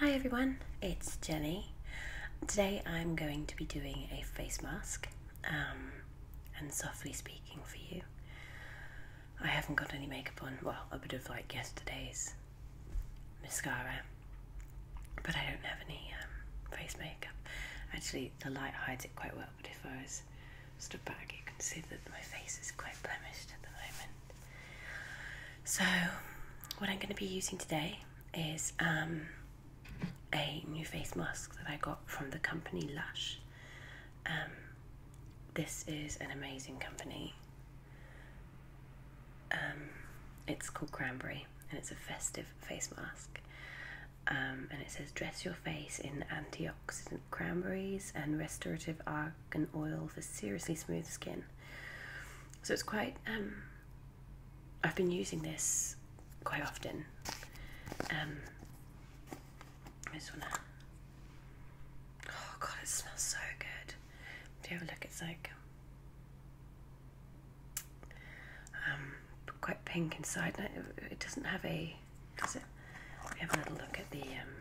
Hi everyone, it's Jenny. Today I'm going to be doing a face mask um, and softly speaking for you. I haven't got any makeup on, well, a bit of like yesterday's mascara, but I don't have any um, face makeup. Actually, the light hides it quite well, but if I was stood back, you can see that my face is quite blemished at the moment. So, what I'm going to be using today is um, a new face mask that I got from the company Lush. Um, this is an amazing company. Um, it's called Cranberry and it's a festive face mask. and it says dress your face in antioxidant cranberries and restorative ar and oil for seriously smooth skin. So it's quite, um, I've been using this quite often. Um, I just wanna, oh god, it smells so good. Do you have a look? It's like, um, quite pink inside. It doesn't have a, does it? We have a little look at the, um,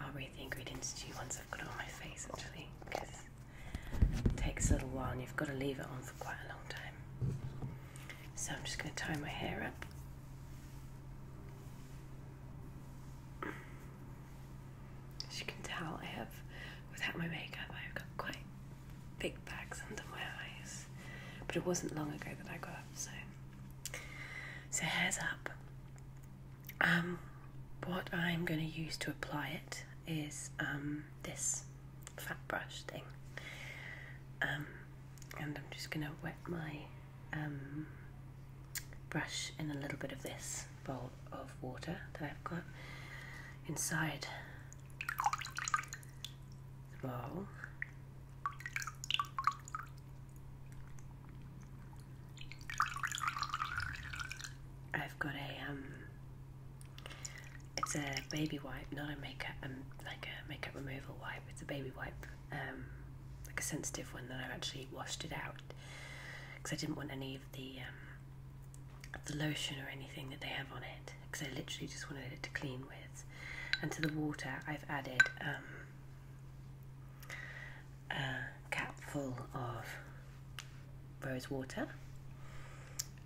I'll read the ingredients to you once I've got it on my face actually because it takes a little while and you've got to leave it on for quite a long time. So I'm just going to tie my hair up. As you can tell, I have, without my makeup, I've got quite big bags under my eyes. But it wasn't long ago that I got up, so. So hair's up. Um, what I'm going to use to apply it is um, this fat brush thing. Um, and I'm just going to wet my um, brush in a little bit of this bowl of water that I've got inside the bowl. I've got a um it's a baby wipe, not a makeup um like a makeup removal wipe, it's a baby wipe, um like a sensitive one that I've actually washed it out because I didn't want any of the um, the lotion or anything that they have on it because I literally just wanted it to clean with. And to the water I've added um a cap full of rose water,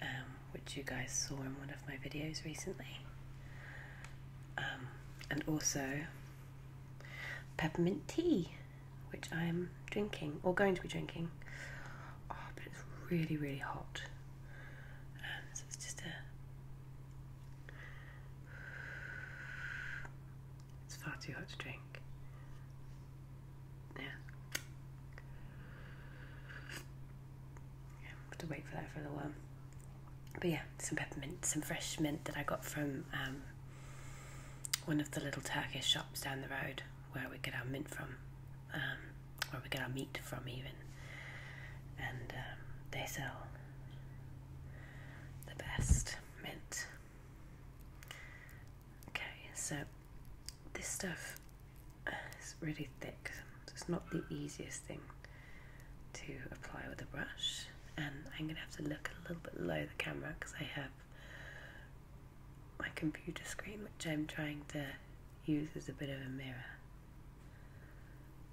um, which you guys saw in one of my videos recently, um, and also peppermint tea, which I'm drinking or going to be drinking. Oh, but it's really, really hot. Um, so it's just a it's far too hot to drink. Yeah. have to wait for that for a little while. But yeah, some peppermint, some fresh mint that I got from um, one of the little Turkish shops down the road where we get our mint from, um, where we get our meat from, even. And um, they sell the best mint. Okay, so this stuff is really thick, it's not the easiest thing to apply with a brush. And I'm gonna have to look a little bit low the camera because I have my computer screen, which I'm trying to use as a bit of a mirror.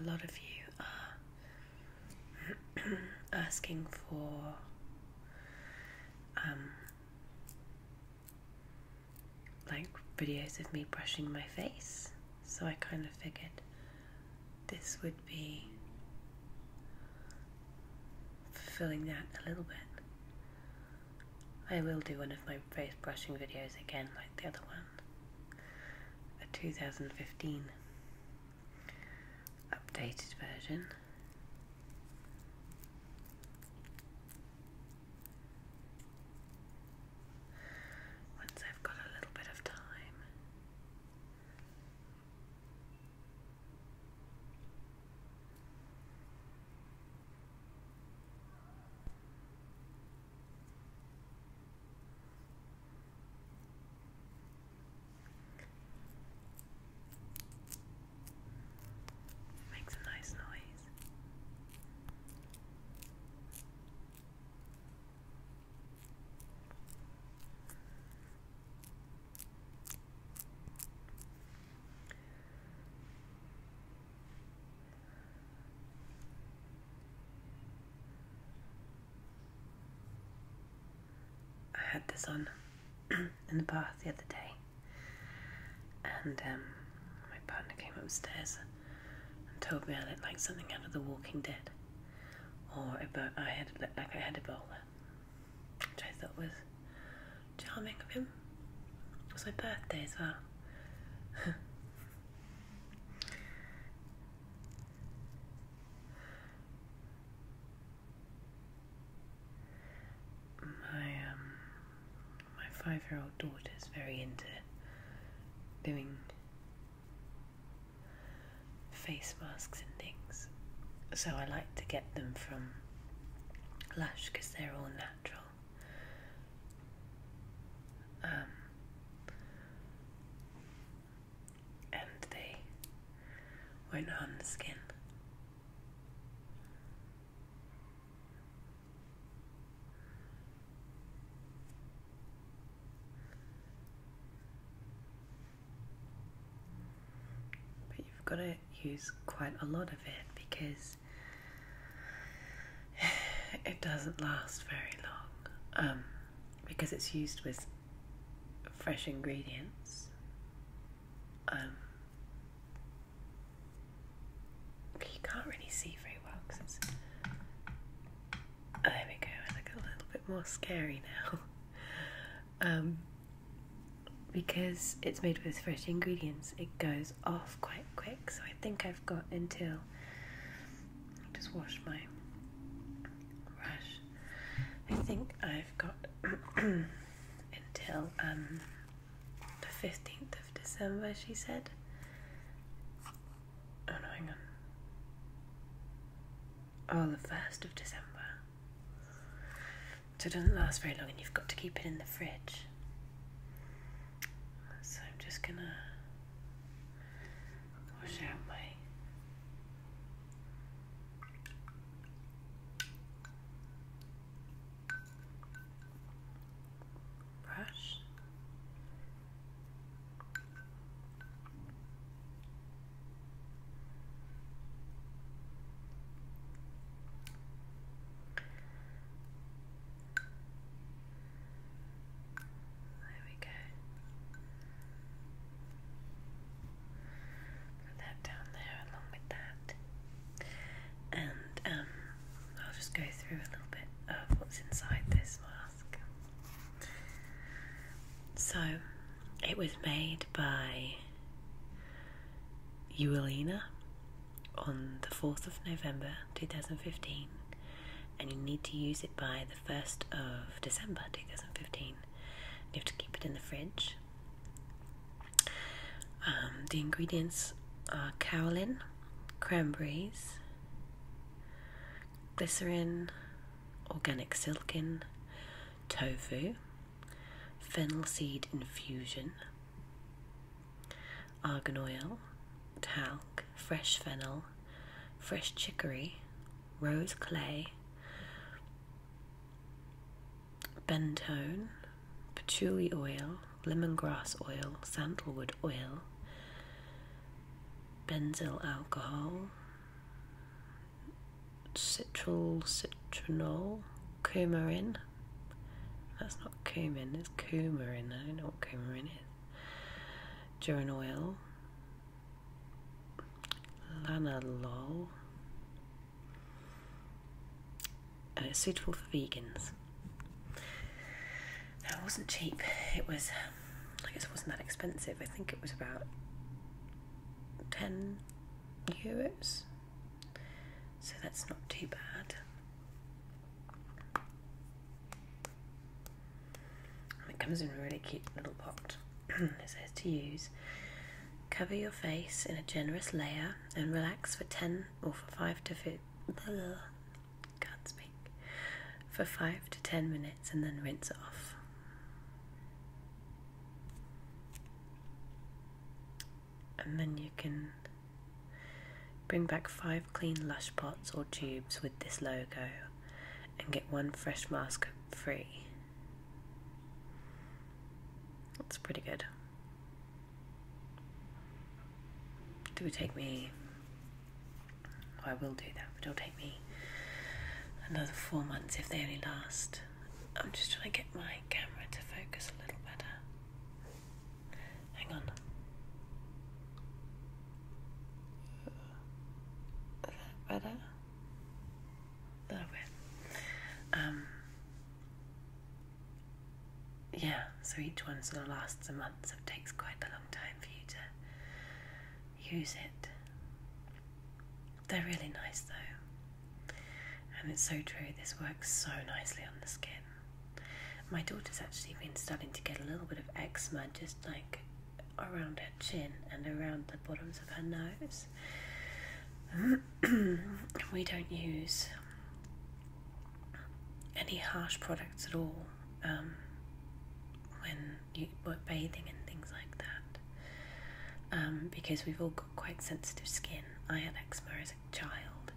a lot of you are asking for um, like videos of me brushing my face, so I kind of figured this would be fulfilling that a little bit. I will do one of my face brushing videos again, like the other one. A 2015 updated version. Once I've got a little bit of time. Makes a nice noise. I had this on in the bath the other day, and um, my partner came upstairs and told me I looked like something out of The Walking Dead, or I had looked like I had a Ebola, which I thought was charming of him. It was my birthday as well. my um, my five-year-old daughter's very into doing face masks and things, so I like to get them from Lush because they're all natural. Um, and they were not on the skin. But you've got to use quite a lot of it because it doesn't last very long um, because it's used with fresh ingredients. Um, you can't really see very well oh, there we go, I look a little bit more scary now. Um, because it's made with fresh ingredients, it goes off quite quick so I think I've got until I just washed my brush. I think I've got until um, the fifteenth of December she said. Oh no, hang on. Oh the first of December so it doesn't last very long and you've got to keep it in the fridge. So I'm just gonna wash my brush. There we go. that down there along with that. And um, I'll just go through a little bit of what's inside this mask. So, it was made by Eulina on the 4th of November 2015 and you need to use it by the 1st of December 2015. You have to keep it in the fridge. Um, the ingredients are kaolin, cranberries, glycerin, organic silken tofu, fennel seed infusion, argan oil, talc, fresh fennel, fresh chicory, rose clay, bentone, patchouli oil, lemongrass oil, sandalwood oil, benzyl alcohol, citral citronol, coumarin. That's not cumin, it's coumarin. I don't know what coumarin is. Duran oil. Lanolol. Uh, suitable for vegans. That wasn't cheap. It was, I guess it wasn't that expensive. I think it was about 10 euros so that's not too bad. it comes in a really cute little pot. it says to use. Cover your face in a generous layer and relax for 10 or for 5 to 15. speak. For 5 to 10 minutes and then rinse off and then you can bring back five clean lush pots or tubes with this logo and get one fresh mask free. That's pretty good. It will take me, I will do that, but it'll take me another four months if they only last. I'm just trying to get my camera to focus a little better. Hang on. Uh, is that better? A little bit. Um, yeah, so each one sort of lasts a month, it takes quite a long time for you to use it. They're really nice though. And it's so true, this works so nicely on the skin. My daughter's actually been starting to get a little bit of eczema just like around her chin and around the bottoms of her nose. we don't use any harsh products at all um, when you are bathing and things like that um, because we've all got quite sensitive skin. I have eczema as child,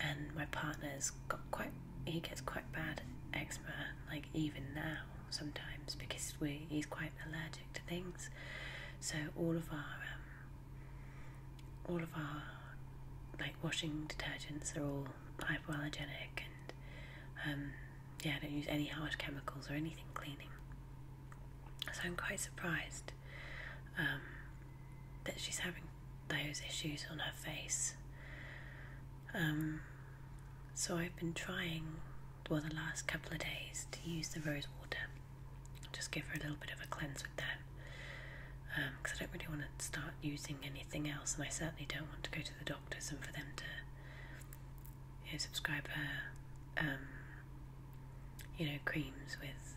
and my partner's got quite he gets quite bad eczema like even now sometimes because we he's quite allergic to things. So all of our um, all of our like washing detergents are all hypoallergenic and um, yeah, I don't use any harsh chemicals or anything cleaning. So I'm quite surprised um, that she's having those issues on her face. Um, so I've been trying, for the last couple of days to use the rose water. Just give her a little bit of a cleanse with that. Because um, I don't really want to start using anything else, and I certainly don't want to go to the doctors and for them to you know, subscribe her you know, creams with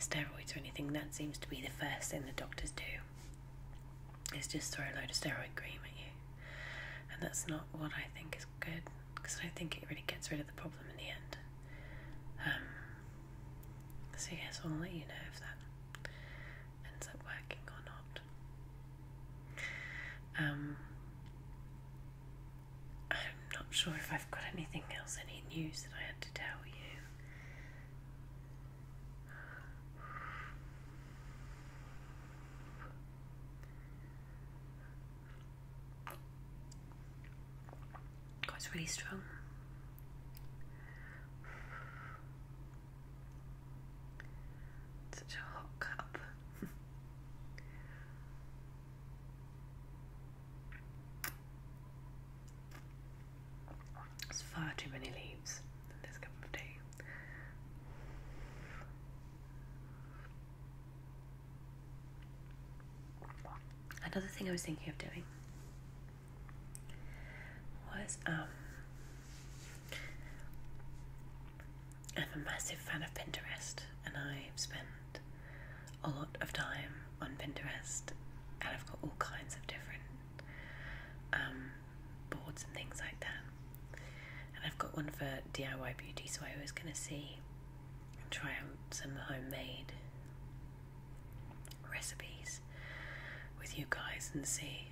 steroids or anything. That seems to be the first thing the doctors do is just throw a load of steroid cream at you. And that's not what I think is good because I think it really gets rid of the problem in the end. Um, so, yes, I'll let you know if that ends up working or not. Um, I'm not sure if I've got anything else, any news that I had to tell you. God, really strong. Such a hot cup. There's far too many leaves in this cup of tea. Another thing I was thinking of doing was um I'm a massive fan of Pinterest, and I've spent a lot of time on Pinterest, and I've got all kinds of different um, boards and things like that. And I've got one for DIY beauty, so I was going to see and try out some homemade recipes with you guys and see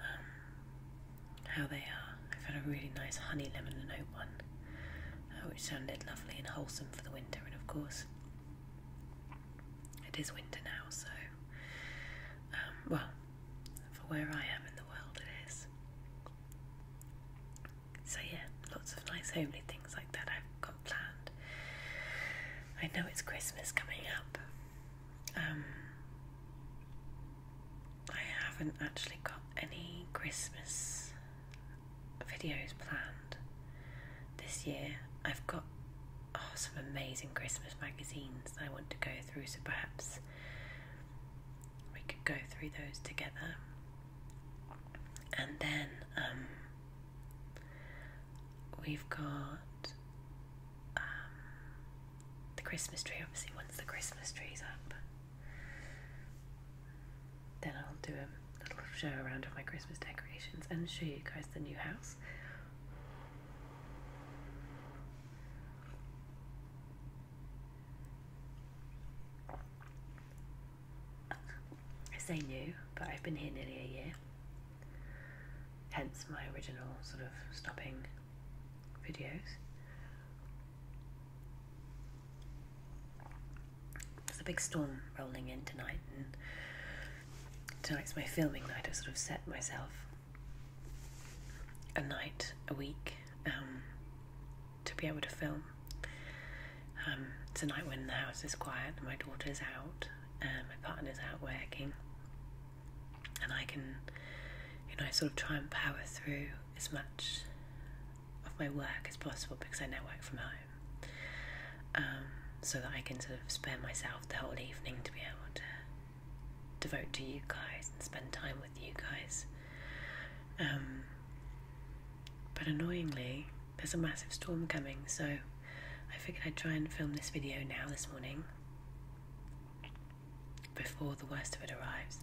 um, how they are. I've had a really nice honey lemon and oat one, uh, which sounded lovely and wholesome for the winter. And of course, it is winter now, so um, well, for where I am in the world, it is. So yeah, lots of nice homely things like that I've got planned. I know it's Christmas coming up. Um, I haven't actually got any Christmas videos planned this year. I've got oh, some amazing Christmas magazines I want to go through, so perhaps we could go through those together. And then um, we've got um, the Christmas tree, obviously, once the Christmas tree's up. Then I'll do a little show around of my Christmas decorations and show you guys the new house. I say new, but I've been here nearly a year. Hence my original sort of stopping videos. There's a big storm rolling in tonight, and tonight's my filming night. I have sort of set myself a night a week um, to be able to film. Um, tonight, when the house is quiet and my daughter's out and my partner's out working, and I can, you know, sort of try and power through as much of my work as possible because I now work from home, um, so that I can sort of spare myself the whole evening to be able to devote to you guys and spend time with you guys. Um, but annoyingly, there's a massive storm coming, so I figured I'd try and film this video now this morning before the worst of it arrives.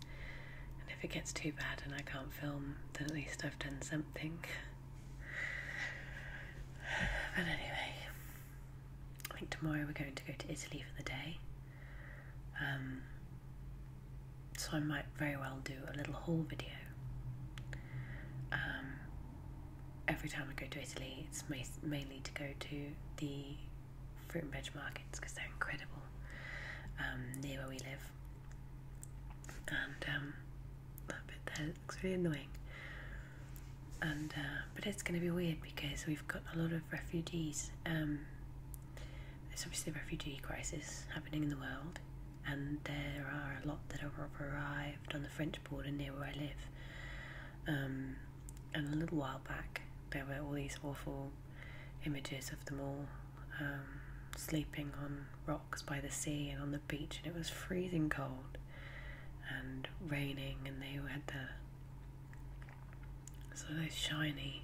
And if it gets too bad and I can't film, then at least I've done something. but anyway, I think tomorrow we're going to go to Italy for the day. Um, so I might very well do a little haul video. Um, every time I go to Italy, it's mainly to go to the fruit and veg markets because they're incredible um, near where we live. And um, that bit there looks really annoying. And uh, but it's going to be weird because we've got a lot of refugees. Um, there's obviously a refugee crisis happening in the world, and there are a lot that have arrived on the French border near where I live. Um, and a little while back, there were all these awful images of them all um, sleeping on rocks by the sea and on the beach, and it was freezing cold and raining, and they had the sort of those shiny,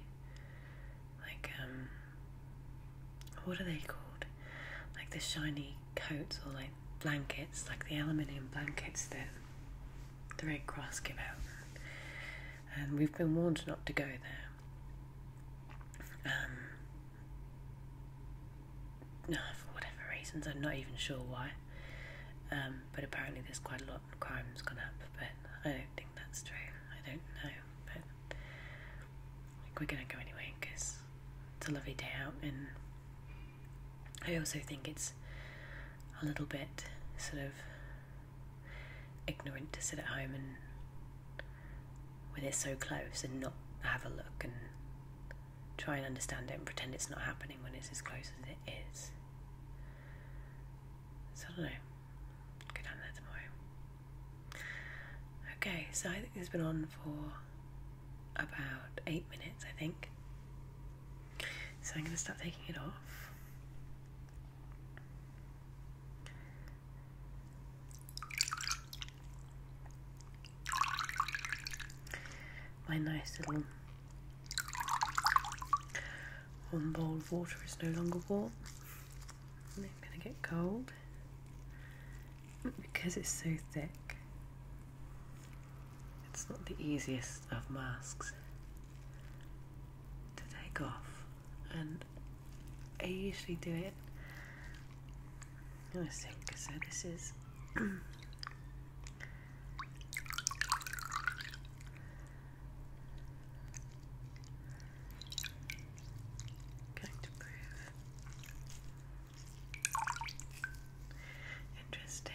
like um, what are they called? Like the shiny coats or like blankets, like the aluminium blankets that the Red Cross give out and we've been warned not to go there. Um, for whatever reasons, I'm not even sure why. Um, but apparently, there's quite a lot of crimes going up, but I don't think that's true. I don't know, but we're gonna go anyway because it's a lovely day out, and I also think it's a little bit sort of ignorant to sit at home and when it's so close and not have a look and try and understand it and pretend it's not happening when it's as close as it is. So I don't know. Go down there tomorrow. Okay, so I think this has been on for about eight minutes, I think. So I'm going to start taking it off. My nice little one bowl of water is no longer warm. It's going to get cold because it's so thick. It's not the easiest of masks to take off, and I usually do it. I think so. This is. Going to prove interesting.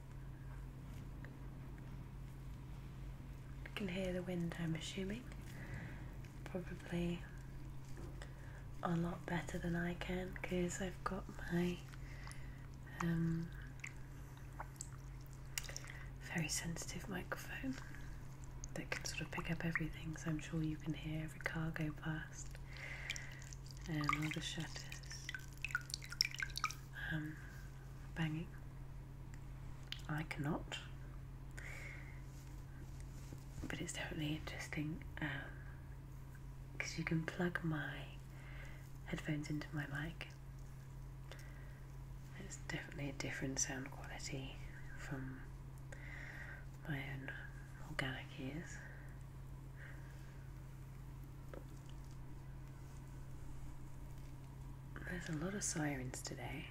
You can hear the wind, I'm assuming. Probably a lot better than I can because I've got my um, very sensitive microphone that can sort of pick up everything, so I'm sure you can hear every car go past and um, all the shutters um, banging. I cannot, but it's definitely interesting because um, you can plug my headphones into my mic. It's definitely a different sound quality from my own organic ears. There's a lot of sirens today.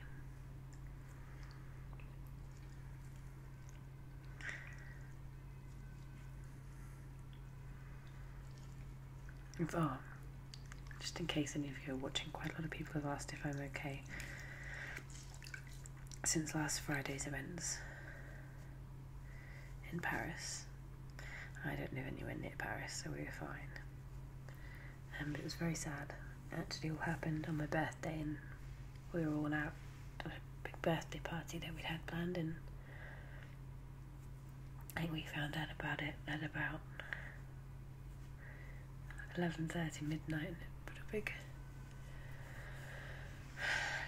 Oh, just in case any of you are watching, quite a lot of people have asked if I'm okay since last Friday's events in Paris. I don't live anywhere near Paris, so we were fine. Um, but it was very sad. Actually, It all happened on my birthday, and we were all out at a big birthday party that we'd had planned, and I think we found out about it at about eleven thirty midnight, and a big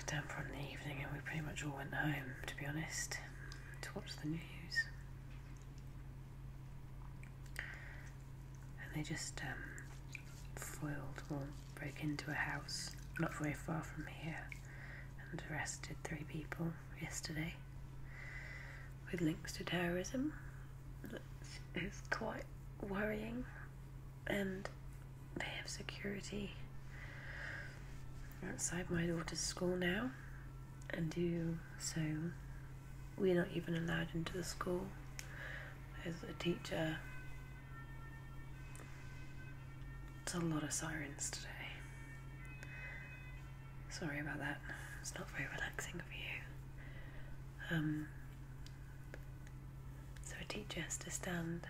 down for the evening and we pretty much all went home, to be honest, to watch the news. And they just um, foiled or broke into a house not very far from here and arrested three people yesterday with links to terrorism. That is quite worrying and they have security outside my daughter's school now and do so we're not even allowed into the school as a teacher it's a lot of sirens today sorry about that it's not very relaxing for you um, so a teacher has to stand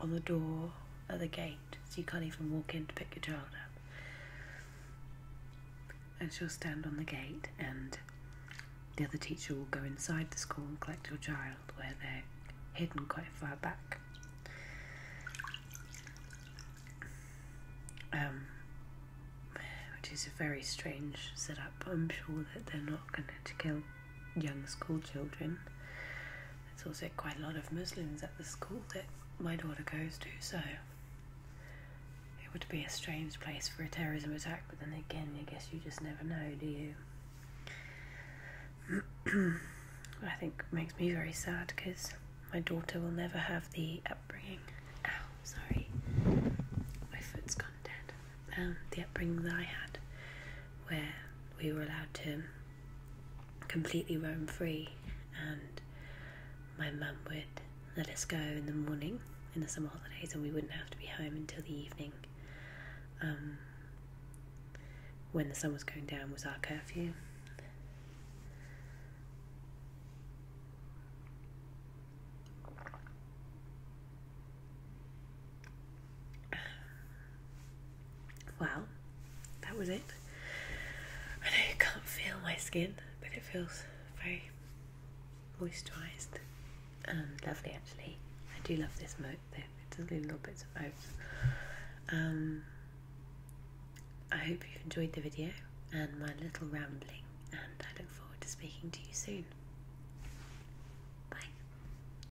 on the door at the gate, so you can't even walk in to pick your child up. And she'll stand on the gate, and the other teacher will go inside the school and collect your child where they're hidden quite far back. Um, which is a very strange setup. I'm sure that they're not going to kill young school children. There's also quite a lot of Muslims at the school that my daughter goes to, so it would be a strange place for a terrorism attack, but then again, I guess you just never know, do you? I think makes me very sad because my daughter will never have the upbringing. Oh, sorry, my foot's gone dead. Um, the upbringing that I had, where we were allowed to completely roam free, and my mum would let us go in the morning in the summer holidays, and we wouldn't have to be home until the evening. Um, when the sun was going down was our curfew. Wow, that was it. I know you can't feel my skin, but it feels very moisturised and um, lovely actually. I do love this moat it does leave little bits of oats. Um, I hope you've enjoyed the video and my little rambling, and I look forward to speaking to you soon. Bye.